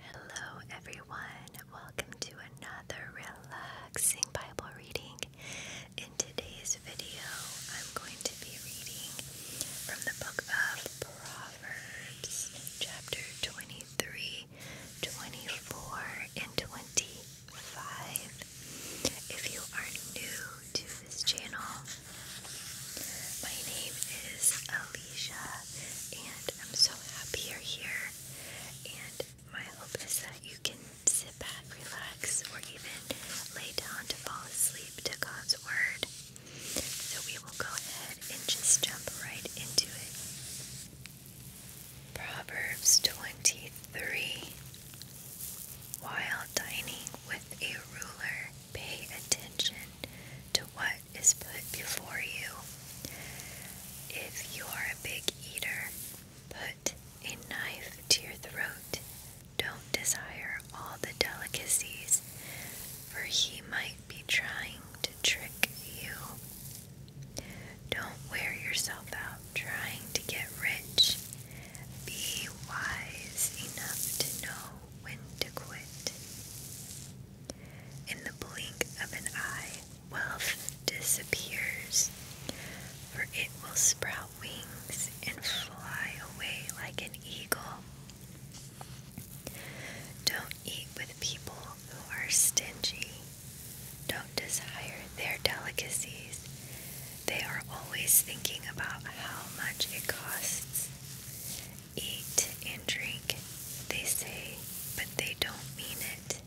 Hello, everyone. Welcome to another relaxing Bible reading. In today's video, I'm going to be reading from the book of Proverbs, chapter 23, 24, and 25. If you are new to this channel, my name is Alicia, and I'm so so here, and my hope is that you can sit back, relax, or even lay down to fall asleep to God's Word. So we will go ahead and just jump right into it. Proverbs 23 While dining with a ruler, pay attention to what is put before you. If you are a big eater, put a knife to your throat. Don't desire all the delicacies, for he might be trying to trick you. Don't wear yourself out trying to get rich. Be wise enough to know when to quit. In the blink of an eye, wealth disappears, for it will sprout wings and fly away like an eagle. Don't eat with people who are stingy. Don't desire their delicacies. They are always thinking about how much it costs. Eat and drink, they say, but they don't mean it.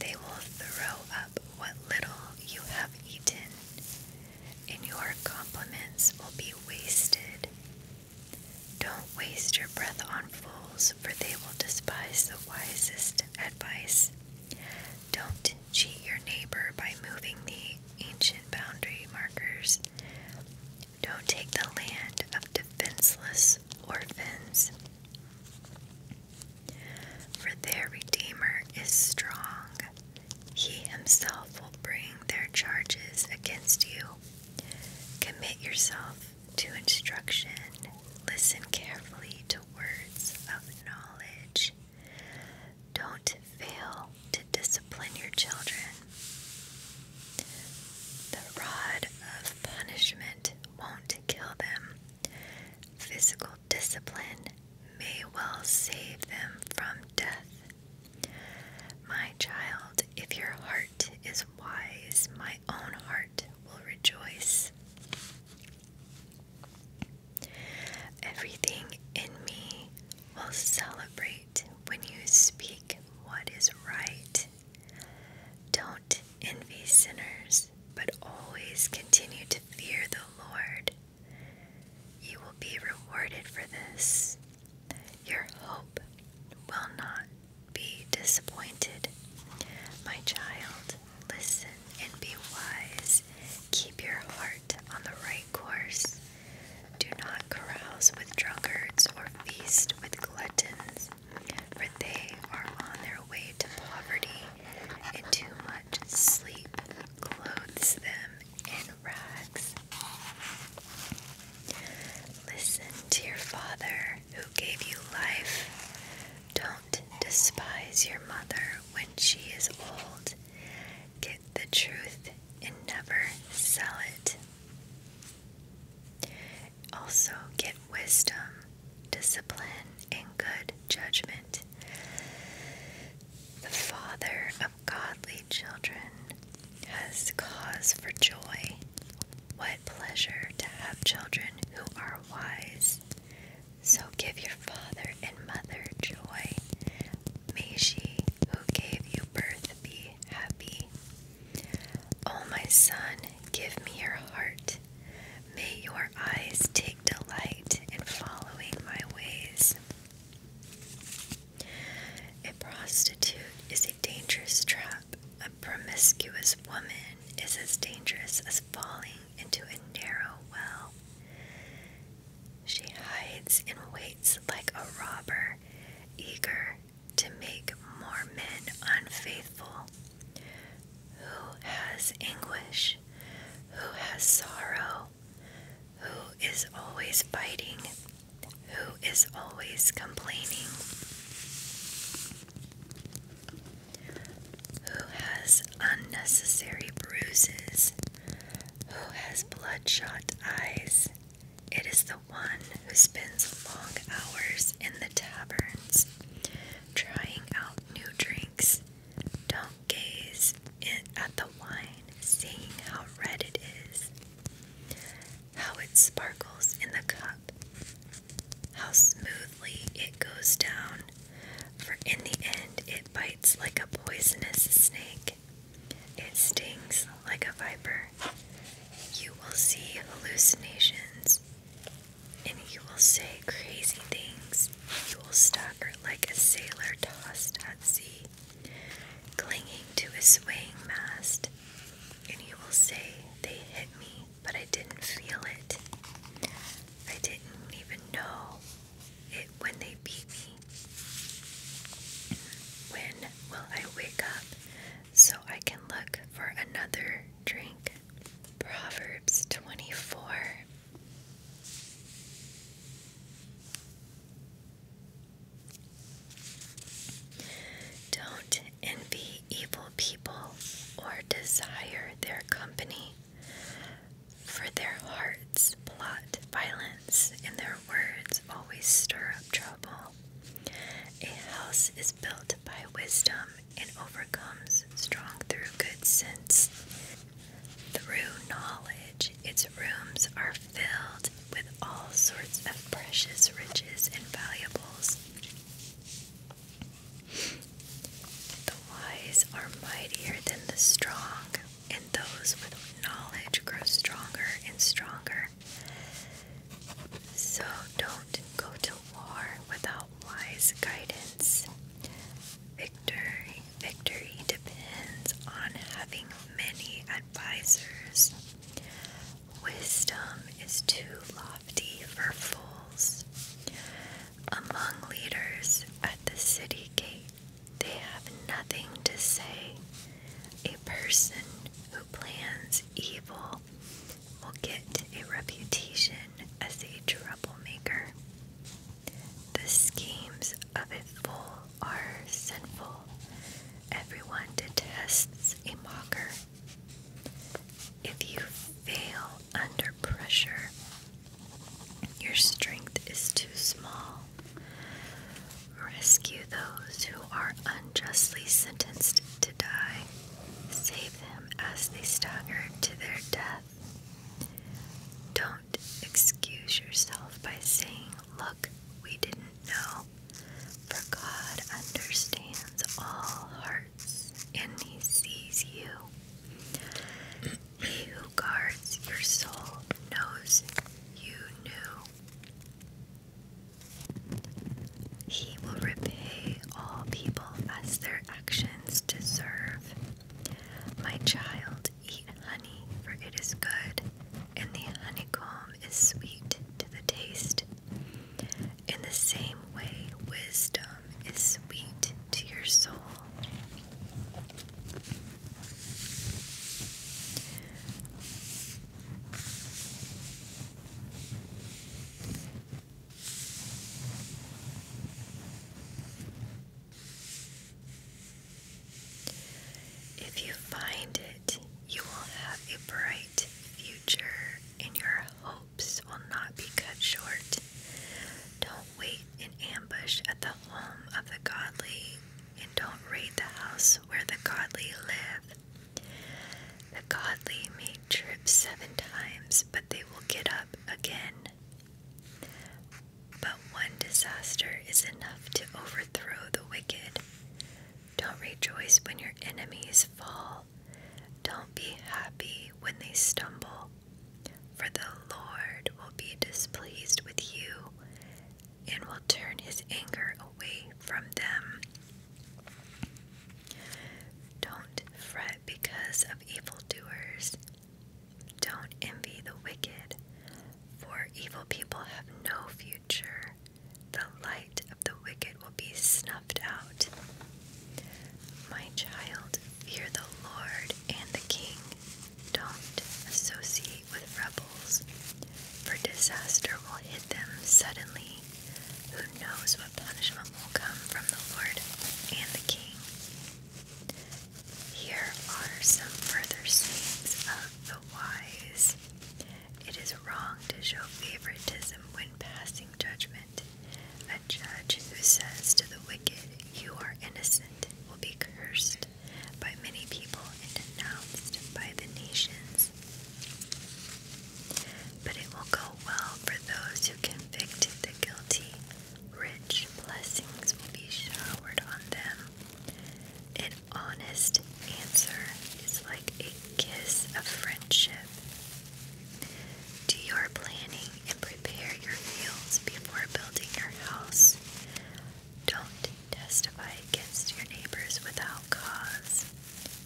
They will throw up what little you have eaten, and your compliments will be wasted. Don't waste your breath on fools, for they will despise the wisest advice. Don't cheat your neighbor by moving the ancient boundary markers. Don't take the land of defenseless orphans, for their Redeemer is strong. He himself will bring their charges against you. Commit yourself to instruction. Listen carefully to words of knowledge. Don't fail to discipline your children. The rod of punishment won't kill them. Physical discipline may well save them from death. My child, if your heart is wise, my own heart will rejoice. Everything in me will celebrate right when you speak what is right. Don't envy sinners, but always continue to fear the Lord. You will be rewarded for this. Your hope will not be disappointed. My child, listen and be wise. Keep your heart on the right course. Do not carouse with drunkards or feast with gluttons, for they are on their way to poverty, and too much sleep clothes them in rags. Listen to your father who gave you life. Don't despise your mother when she is old the truth and never sell it. Also, get wisdom, discipline, and good judgment. The father of godly children has cause for joy. What pleasure to have children who are wise. So give your father and mother joy May she who gave you birth be happy. Oh, my son, give me your heart. May your eyes take delight in following my ways. A prostitute is a dangerous trap. A promiscuous woman is as dangerous as falling into a narrow well. She hides and waits like a robber, eager to make more men unfaithful. Who has anguish? Who has sorrow? Who is always fighting? Who is always complaining? Who has unnecessary bruises? Who has bloodshot eyes? It is the one who spends long hours in the taverns, trying out new drinks. Don't gaze at the wine, seeing how red it is, how it sparkles in the cup, how smoothly it goes down, for in the end it bites like a poisonous snake. It stings like a viper. You will see hallucinations and you will say crazy things. You will stagger like a sailor tossed at sea, clinging to a swaying mast. And you will say, They hit me, but I didn't feel it. I didn't even know it when they beat me. When will I wake up so I can look for another drink? Proverbs 24. Don't envy evil people or desire their company, for their hearts plot violence, and their words always stir up trouble. A house is built by wisdom and overcomes strong through good sense. Through knowledge, its rooms are filled with all sorts of precious riches and valuables. The wise are mightier than the strong, and those with knowledge grow stronger and stronger. So don't go to war without wise guidance. Victory, victory depends on having many advisors. Wisdom is too lofty for fools. Among leaders at the city gate they have nothing to say. A person who plans evil will get a reputation as a troublemaker. The schemes of a fool are sinful. Everyone detests a mocker. If you fail under pressure, your strength is too small. Rescue those who are unjustly sentenced to die. Save them as they stagger to their death. Don't excuse yourself by saying, Look, we didn't know. For God understands all hearts and He sees you. He who your soul knows you knew. He will repay all people as their actions deserve. My child, eat honey, for it is good, and the honeycomb is sweet to the taste. In the same way, wisdom is sweet to your soul. If you find it, you will have a bright future and your hopes will not be cut short. Don't wait in ambush at the home of the godly and don't raid the house where the godly live. The godly may trip seven times, but they will get up again. But one disaster is enough to overthrow the wicked. Don't rejoice when your enemies fall. Don't be happy when they stumble, for the Lord will be displeased with you and will turn his anger away from them. Don't fret because of evildoers. Don't envy the wicked, for evil people have no future. The light of the wicked will be snuffed out. My child, fear the Lord and the King. Don't associate with rebels, for disaster will hit them suddenly. Who knows what punishment will come from the Lord and the King? Here are some further sayings of the wise. It is wrong to show favoritism when passing judgment. A judge who says to the wicked, You are innocent, will be cursed by many people and denounced by the nations. But it will go well for those who convicted the guilty. Rich blessings will be showered on them. An honest answer is like a kiss of friendship. Do your planning and prepare your fields before building your house. Don't Testify against your neighbors without cause.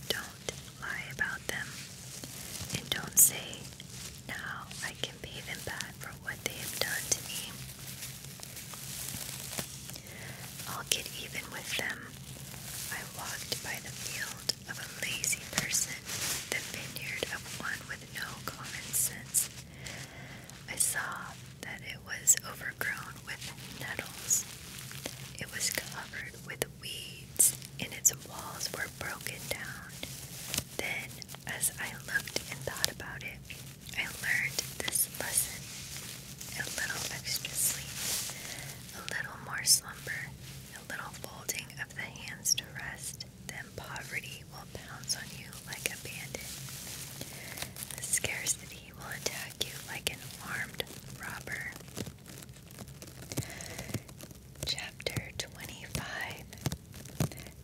Don't lie about them. And don't say, Now I can pay them back for what they have done to me. I'll get even with them. I walked by the field of a lazy person, the vineyard of one with no common sense. I saw that it was overgrown with nettles. It was covered with weeds, and its walls were broken down. Then, as I looked and thought about it, I learned this lesson. A little extra sleep, a little more slumber, a little folding of the hands to rest, then poverty will pounce on you like a bandit. scarcity he will attack you like an armed robber. Chapter 25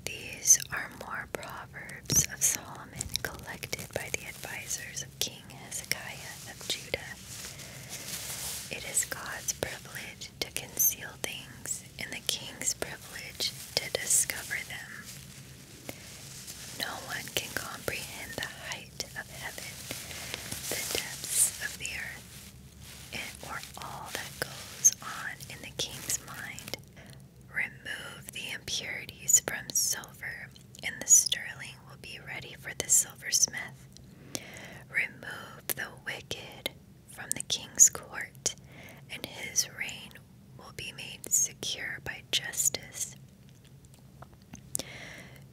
These are more proverbs of Solomon collected by the advisors of King Hezekiah of Judah. It is God's privilege to conceal things and the king's privilege to discover them. No one can comprehend the height of heaven, the depths of the earth, and, or all that goes on in the king's mind. Remove the impurities from silver, and the sterling will be ready for the silversmith. Remove the wicked from the king's court, and his reign will be made secure by justice.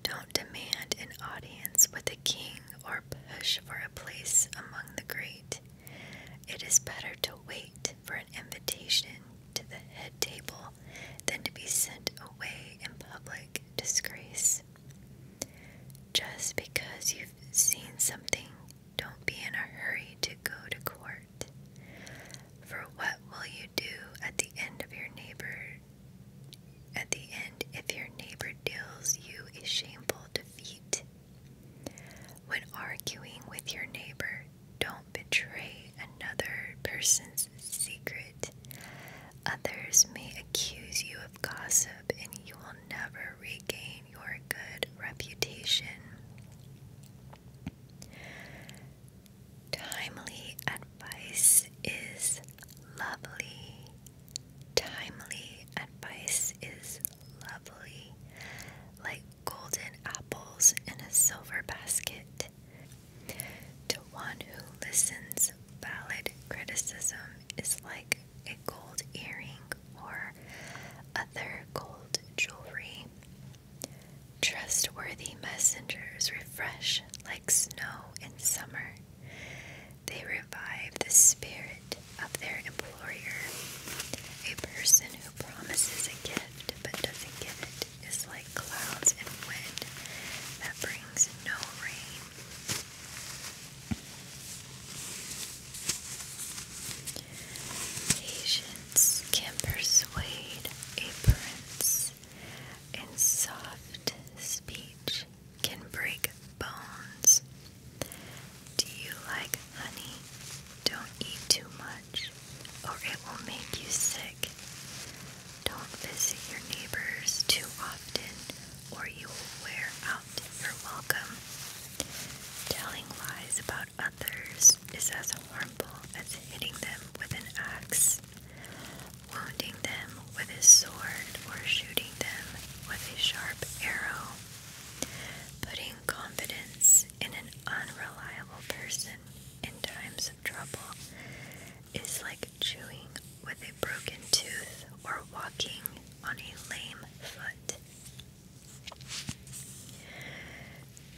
Don't demand an audience with a king or push for a place among the great. It is better to wait for an invitation to the head table than to be sent away in public disgrace. Just because you've seen something, don't be in a hurry to go to court. For what will you do at the end of your neighbor? At the end, if your neighbor deals you a shameful defeat? When arguing with your neighbor, don't betray another person's secret. Others may accuse you of gossip and you will never regain your good reputation. Timely advice is lovely. Timely advice is lovely, like golden apples in a silver basket. To one who listens, valid criticism is like a gold earring or other gold jewelry. Trustworthy messengers refresh like snow in summer. They revive the spirit of their employer. A person who promises a gift but doesn't give it is like clouds and wind that brings no rain. Patience can persuade a prince, and soft speech can break bones. Do you like honey? Don't eat too much, or it will make you sick. Don't visit your neighbors too often, or you will wear out your welcome. Telling lies about others is as harmful as hitting them with an axe, wounding them with a sword, or shooting them with a sharp arrow. Putting confidence in an unreliable person in times of trouble is like chewing with a broken tooth or walking on a lame foot.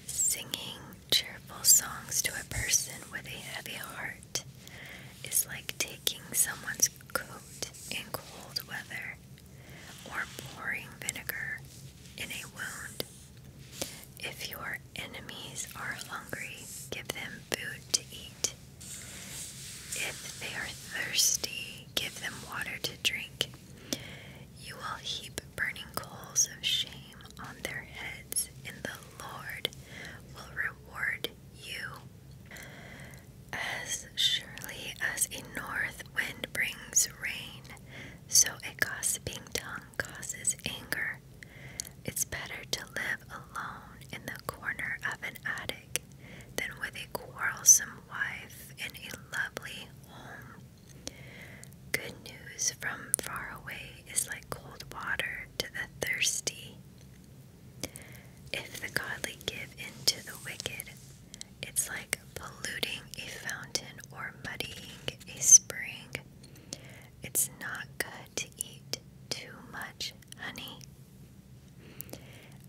Singing cheerful songs to a person with a heavy heart is like taking someone's coat in cold weather or pouring vinegar in a wound. If your enemies are hungry, give them food to eat. If they are thirsty, give them water to drink. You will heap burning coals of shame on their heads, and the Lord will reward you. As surely as a north wind brings rain, so a gossiping tongue causes anger. It's better to live alone in the corner of an attic than with a quarrelsome wife in a lovely home. Good news from far away is like cold water to the thirsty. If the godly give in to the wicked, it's like polluting a fountain or muddying a spring. It's not good to eat too much honey.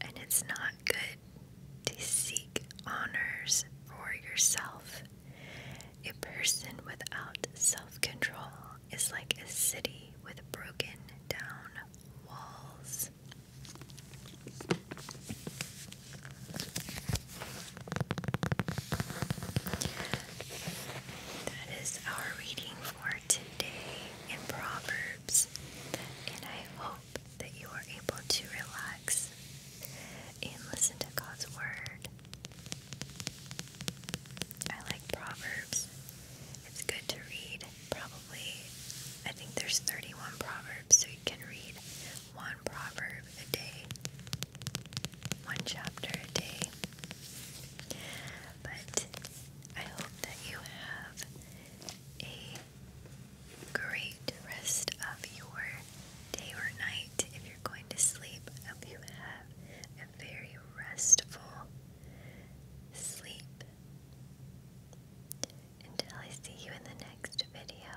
And it's not good to seek honors for yourself a person without self control is like a city with broken down walls. That is our reading for today in Proverbs, and I hope that you are able to rely and listen to God's Word. I like Proverbs. It's good to read, probably, I think there's 31 Proverbs, so you can read one proverb a day, one chapter a day. But I hope that you have a great rest of your day or night if you're going to sleep. I hope you have a very restful sleep. Until I see you in the next video.